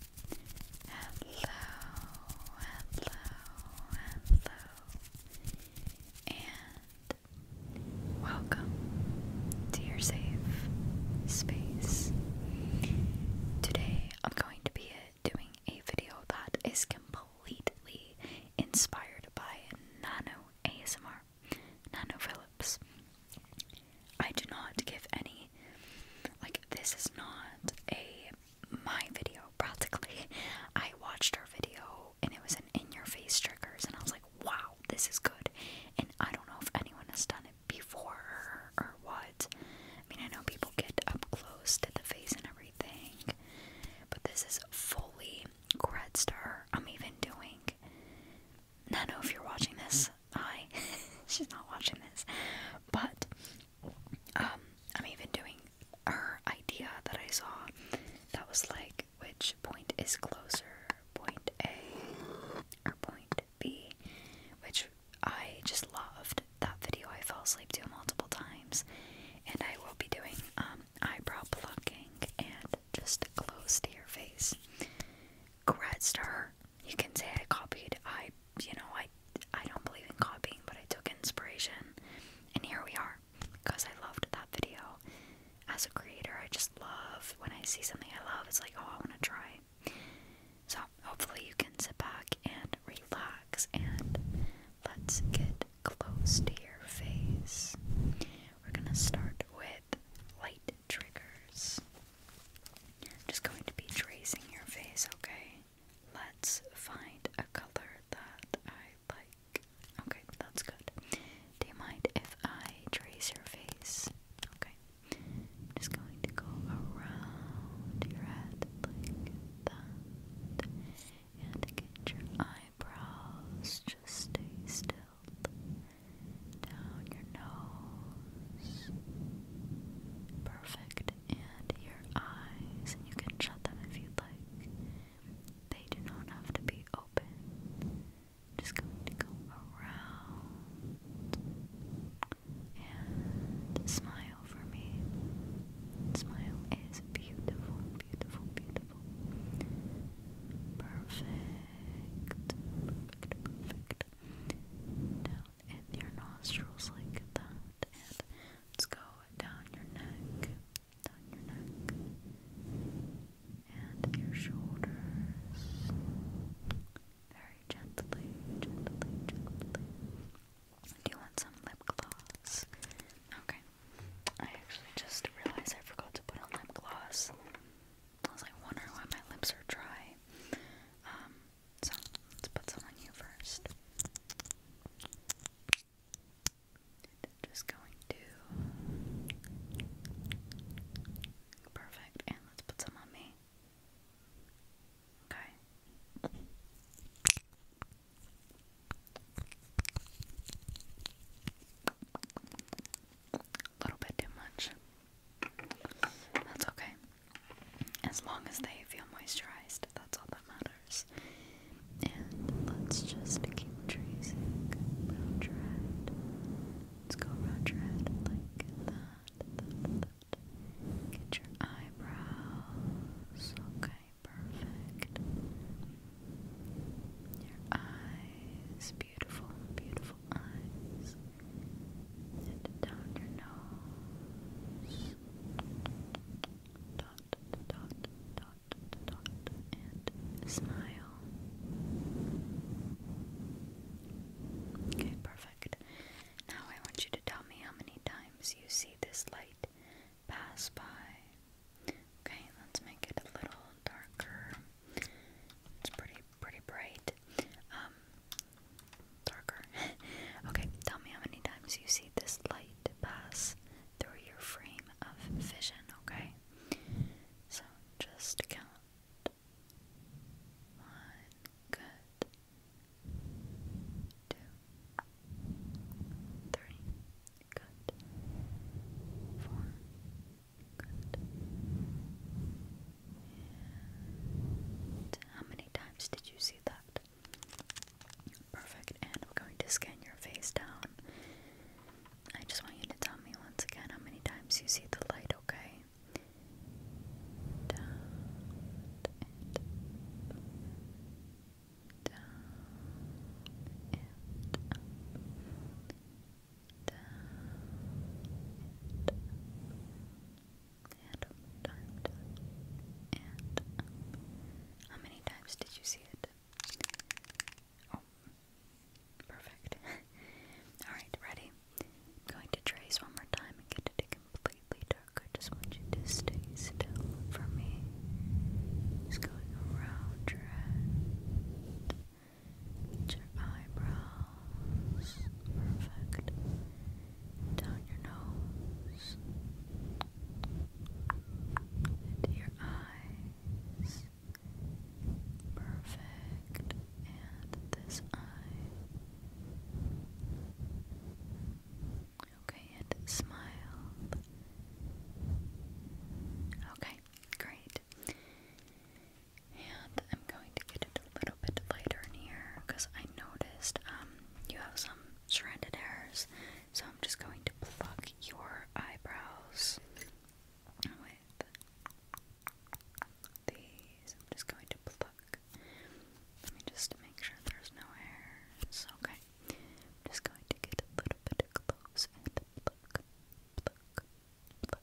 hello, hello, and welcome to your safe space. Today I'm going to be doing a video that is completely inspired by Nano ASMR, Nano Phillips. I do not give any like this is not a my video practically. I watched her video and it was an in your face triggers and I was like, wow, this is good. And I don't know if anyone has done it before or what. I mean I know people get up close to the face and everything. But this is fully credits star. I'm even doing I know if you're watching this, hi. She's not watching this. But um, I'm even doing her idea that I saw that was like which point is closer, point A or point B, which I just loved that video. I fell asleep to multiple times. And I will be doing um, eyebrow plucking and just close to your face. Congrats to You can say I copied I you know, I I don't believe in copying, but I took inspiration, and here we are. Because I loved that video. As a creator, I just love when I see something I love. It's like, oh, I want to try. So hopefully you can sit back and relax, and let's get close to your face. We're gonna start with light triggers. I'm just going to be tracing your face, okay? Let's find a color that I like. Okay, that's good. Do you mind if I trace your face? Okay. just going to go around your head like that. And get your eyebrows. Just stay still down your nose. Perfect. And your eyes. And you can shut them if you like. They do not have to be open. Just going go around and smile for me. Smile is beautiful, beautiful, beautiful. Perfect. Perfect, perfect. Now in your nostrils like that, and let's go down your neck, down your neck, and your shoulders, very gently, gently, gently. Do you want some lip gloss? Okay. I actually just realized I forgot to put on lip gloss. I was like wondering why my lips are dry. Um, so let's put some on you first. just going to perfect, and let's put some on me. Okay. A little bit too much. That's okay. As long as they feel moisturized, that's all that matters. And let's just keep tracing round your head. Let's go round your head like that. that, that. Get your eyebrows. Okay, perfect. Your eyes, beautiful, beautiful eyes and down your nose. Dot, dot, dot, dot, and smile. Okay, perfect. Now I want you to tell me how many times you see this light pass by. Okay, let's make it a little darker. It's pretty, pretty bright. Um, darker. okay, tell me how many times you see this light pass through your frame of vision, okay? So just count. One, good. Two, three, good. Four, how many times did you see that? Perfect. And I'm going to scan your face down. I just want you to tell me once again how many times you see the light, okay? Down Down Down how many times did you see it? Oh, perfect. Alright, ready? i going to trace one more time and get it completely dark. I just want you to stay still for me. Just going around your your eyebrows, perfect. Down your nose, into your eyes, perfect. And this eye. Okay, and smile. Okay, great. And I'm going to get a little bit lighter in here because I noticed um, you have some stranded hairs. So I'm just going to pluck your eyebrows with these. I'm just going to pluck. Let me just make sure there's no hairs. Okay. I'm just going to get a little bit close and pluck, pluck, pluck, pluck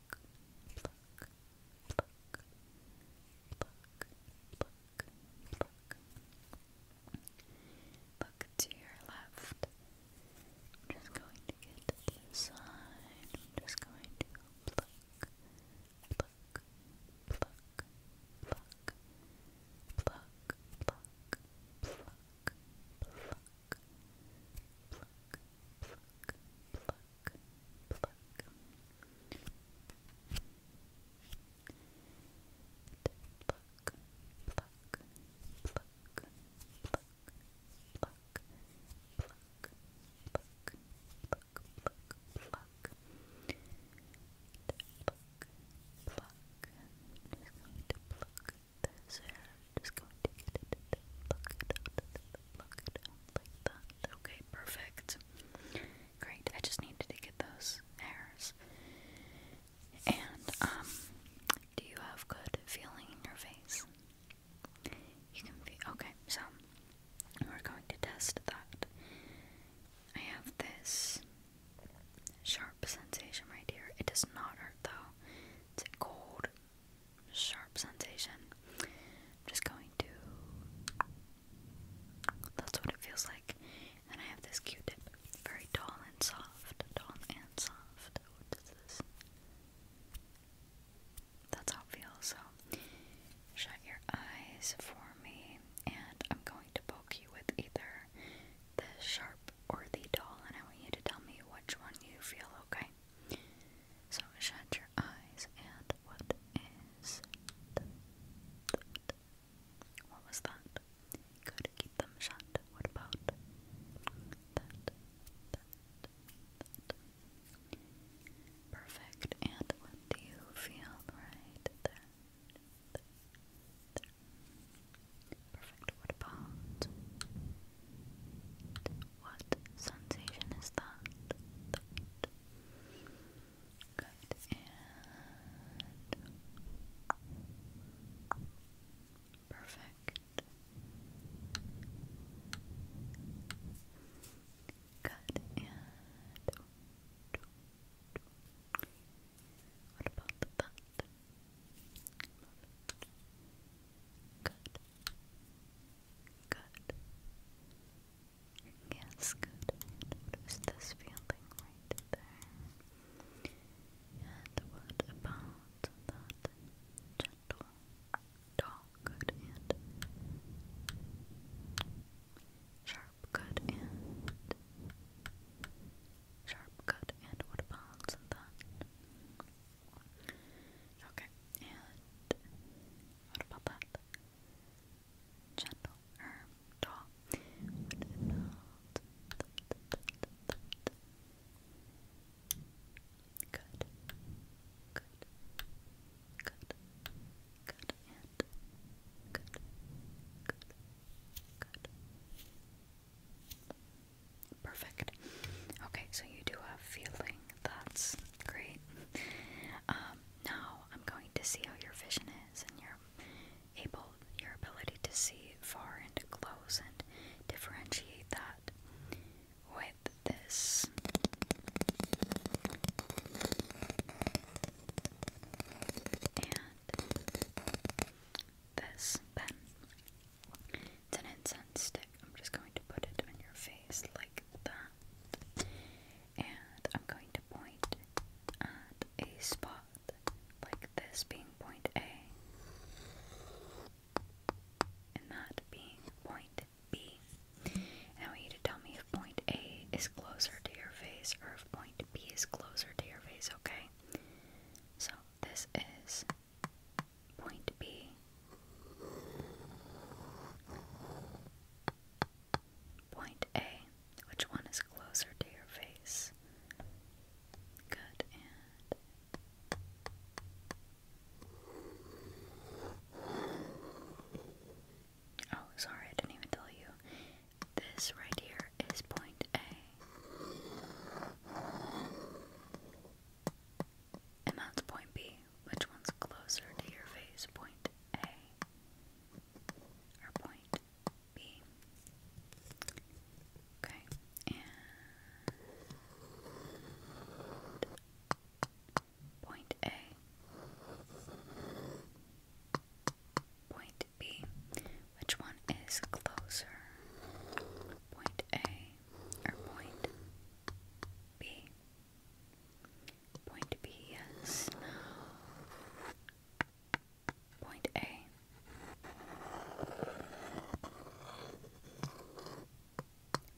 pluck, pluck, pluck, pluck, pluck. Look to your left. I'm just going to get to I'm just going to pluck, pluck, pluck, pluck, pluck, pluck, pluck, pluck pluck, pluck, pluck, pluck. Pluck, pluck, pluck, pluck, pluck, pluck, pluck, pluck, pluck, pluck. Pluck, pluck. I'm just going to pluck, this it, Okay, perfect. Great. I just needed to get those hairs. And um, do you have good feeling in your face? You can feel. Okay, so we're going to test that. I have this sharp sensation right here. It does not hurt though. It's cold, sharp sensation. just going to. That's what it feels like. And I have this Q-tip, very tall and soft, tall and soft. What is this? That's how it feels. So, shut your eyes for me, and I'm going to poke you with either the sharp or the doll, and I want you to tell me which one you feel, okay? So shut your eyes, and what is What was that? Good, keep them shut. What about Perfect, and what do you feel right there. Perfect. What about what sensation is that? Good and perfect. Good and what about that? Good. Good. Yes, good. And what is this feeling right there? And what about that gentle dog? Good and sharp. Good and sharp. Good and what about that Okay, and what about that? Gentle erm doll. Good. Good. Good. Good and Good. Good. Good. Perfect. Okay, so you do have feeling. That's great. Um, now I'm going to see how your vision is and your able your ability to see far and close and differentiate that with this. And this pen. It's an incense stick. I'm just going to put it in your face like that. And I'm going to point at a spot like this being point A and that being point B. want you to tell me if point A is closer to your face or if point B is closer to your face, okay? So this is Point B. Point A. Which one is closer to your face? Good Oh, sorry, I didn't even tell you. This right here is point A. And that's point B. Which one's closer to your face? Point A or point B? Okay, point A, point point B. Which one is closer? Point A or point B? Point B, yes. No. Point A.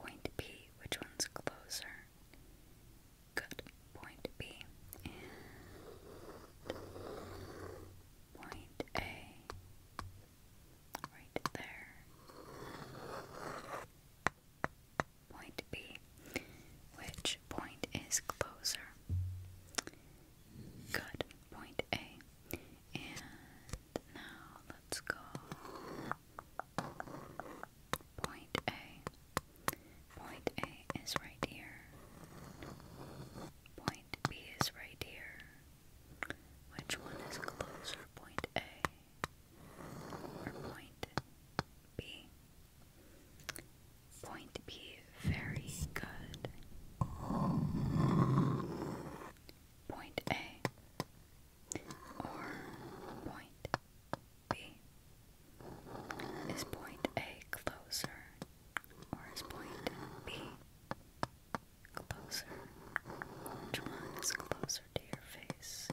Point B, which one's closer? Good. Point B. And point A right there. Point B. Which point is closer? Good. Point A. And now let's go. Point A. Point A is right here. Point B is right here. Which one is closer, point A or point B? Point B, very good. Point A or point B? Is point A closer or is point B closer? Which one is closer to your face?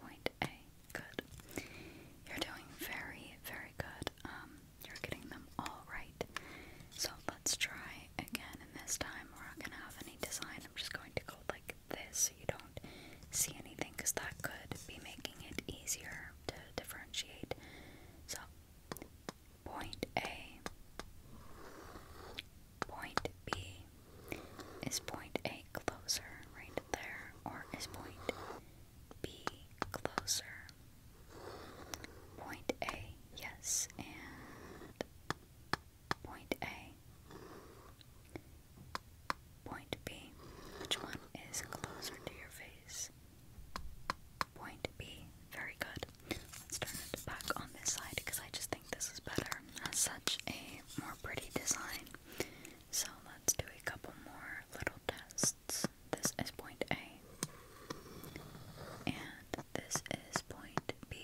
Point A. Good. You're doing very, very good. Um, you're getting them all right. So let's try again, and this time we're not gonna have any design. I'm just going to go like this so you don't see anything because that could be making it easier to differentiate. So Point A. Point B. Is point A closer right there, or is point B closer? Point A, yes, and point A. Point B. Which one is closer to your face? is point B. Very good. Let's turn it back on this side because I just think this is better. Has such a more pretty design. So let's do a couple more little tests. This is point A. And this is point B.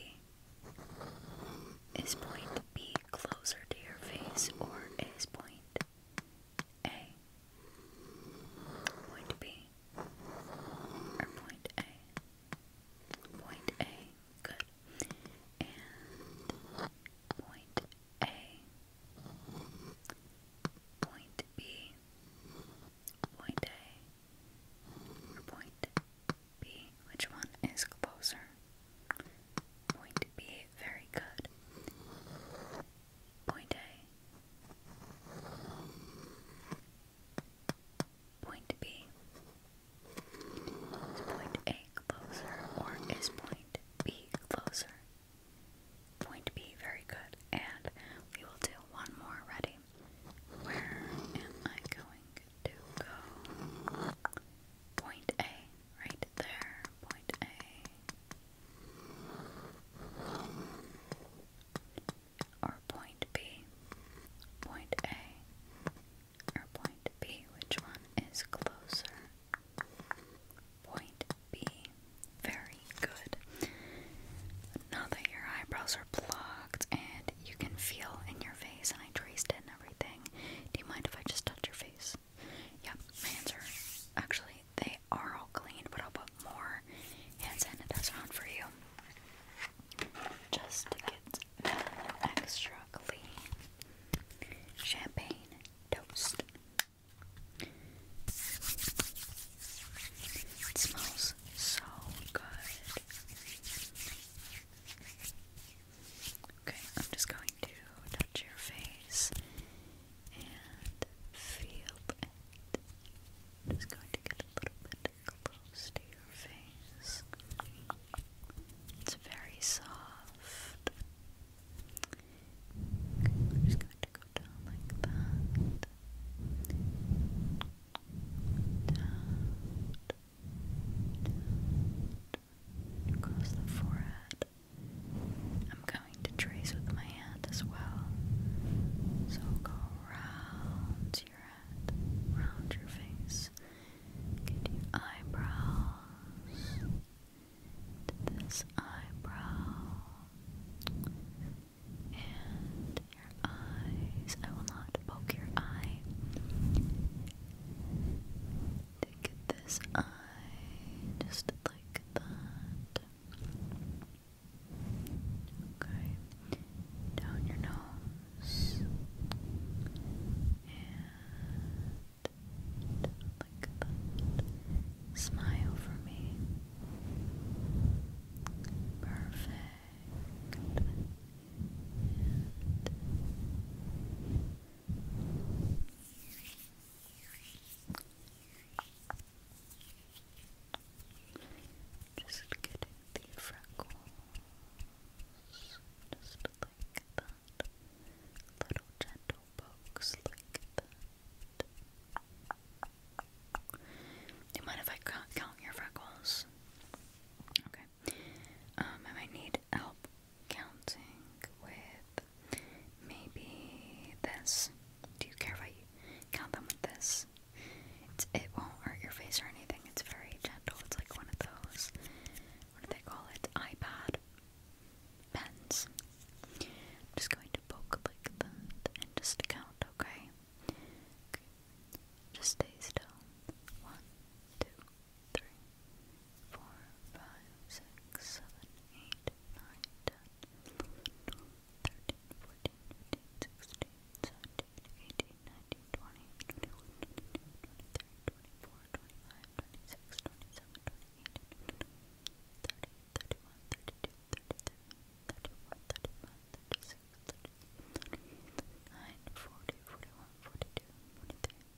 Is point B closer to your face or is point a, point B, or point A, point A, good, and point A, point B, point A, point B, which one is closer? Point B, very good. Point A. Point B. Is point A closer or is point B closer? Point B, very good. And we will do one more. Ready? Where am I going to go? Point A, right there, point A. Or point B, point A, or point B, which one is closer? Point B. Very good. Now that your eyebrows are plucked and you can feel in your face, and I traced in everything, do you mind if I just touch your face? Yep, my hands are actually they are all clean, but I'll put more hand sanitizer on for you. Just to get extra clean. Champagne toast. It smells so good. Okay, I'm just going to your face and feel it. just going to get a little bit close to your face. It's very soft. just going to go down like that. down, across the forehead, I'm going to trace with my hand as well. So go round your head, round your face, get your eyebrows to this eyebrow and your eyes. I will not poke your eye. To get this eye, just like that. Okay, down your nose and like that. Smile for me. Perfect. Just getting the freckles, just like that. Little gentle pokes like that. Do you mind if I count your freckles? Okay. Um, I might need help counting with Maybe this. Do you care if I count them this? It's, it won't hurt your face or anything. It's very gentle. It's like one of those. What do they call it? iPad pens. I'm just going to poke like that and just count, okay? okay. Just stay still. One, two, three, four, five, six, seven, eight, nine, ten, eleven, thirteen, fourteen, fifteen, sixteen, seventeen, eighteen, nineteen, twenty, twenty-one, twenty-two, twenty-three, twenty-four, twenty-five, twenty-six, twenty-seven, twenty-eight, thirty, thirty-one, thirty-two, thirty-three, thirty-four, thirty-five, thirty-six, thirty-seven, thirty-eight, thirty-nine, forty, forty-one, forty-two, forty-three,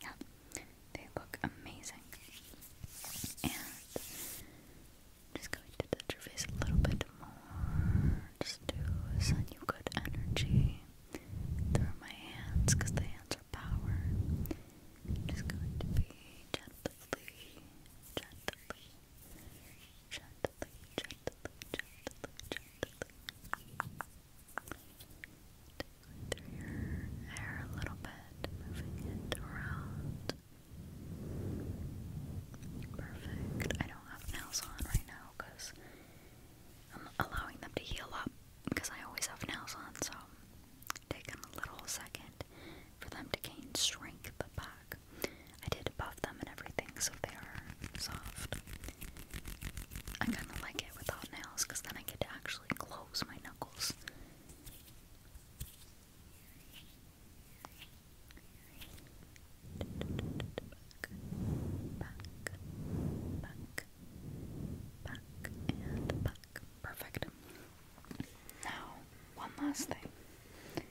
yeah, they look amazing. And just going to touch your face a little bit more, just to send you good energy through my hands, the hands are power. Just going to be gently, gently, gently, gently, gently, gently through your hair a little bit, moving it around. Perfect. I don't have nails on right now because I'm allowing them to heal up because I always have nails on, so take a little second for them to gain strength back. I did buff them and everything so they are soft. I kind of like it without nails because then I get to actually close my knuckles. Back, back, back, back, and back. Perfect. Now, one last thing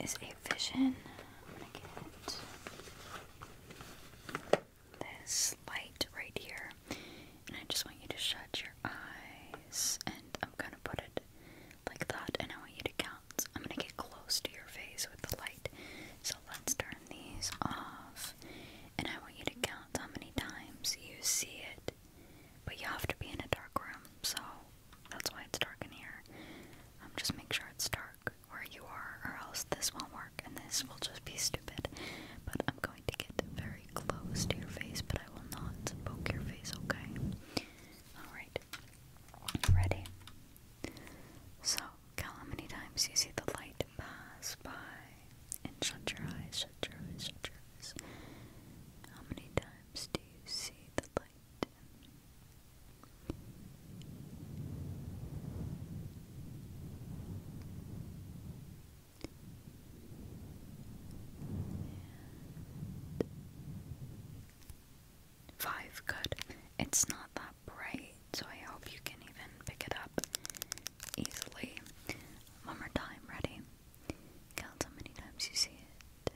is a vision this light right here. And I just want you to shut your eyes. And I'm gonna put it like that. And I want you to count. I'm gonna get close to your face with the light. So let's turn these off. And I want you to count how many times you see it. But you have to be in a dark room. So that's why it's dark in here. I'm um, just make sure it's dark where you are, or else this won't work and this will just be stupid. But I'm going to get very close to your face, but I will not poke your face, okay? Alright. Ready? So, how many times you see the light pass by and shut your eyes, shut your eyes, shut your eyes. How many times do you see the light? Five, good. It's not that bright, so I hope you can even pick it up easily. One more time, ready? Count how many times you see it.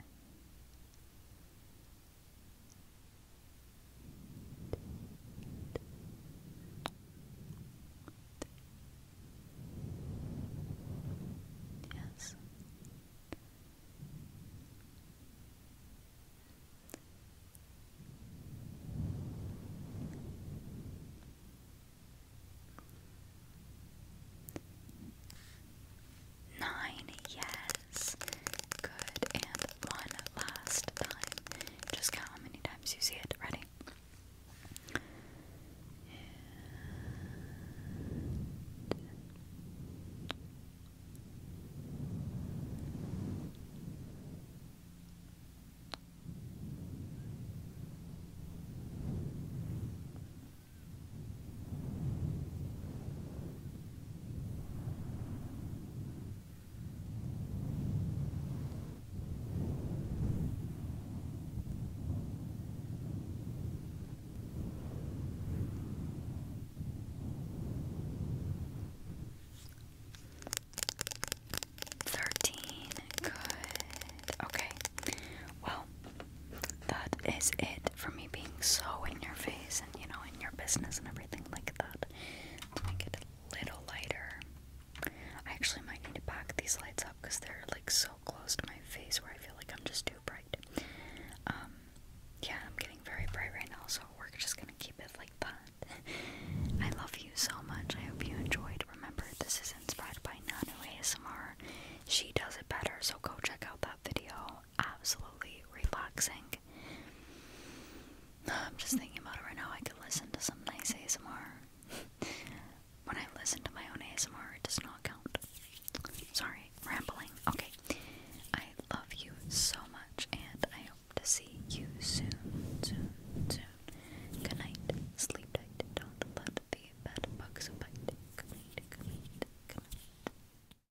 Yes. Nine, yes. Good. And one last time. Just count how many times you see it. Ready? And... Thirteen. Good. Okay. Well, that is it for me being so in your face and, you know, in your business and everything like that. make it a little lighter. I actually might need to back these lights up because they're like so close to my face where I feel like I'm just too bright. Um, yeah, I'm getting very bright right now, so we're just gonna keep it like that. I love you so much. I hope you enjoyed. Remember, this is inspired by Nano ASMR. She does it better, so go check out that video absolutely relaxing. I'm just thinking about it right now. I could listen to some nice ASMR. when I listen to my own ASMR, it does not count. Sorry, rambling. Okay. I love you so much, and I hope to see you soon, soon, soon. Good night. Sleep tight. Don't let the bed bite. Good night. Good night.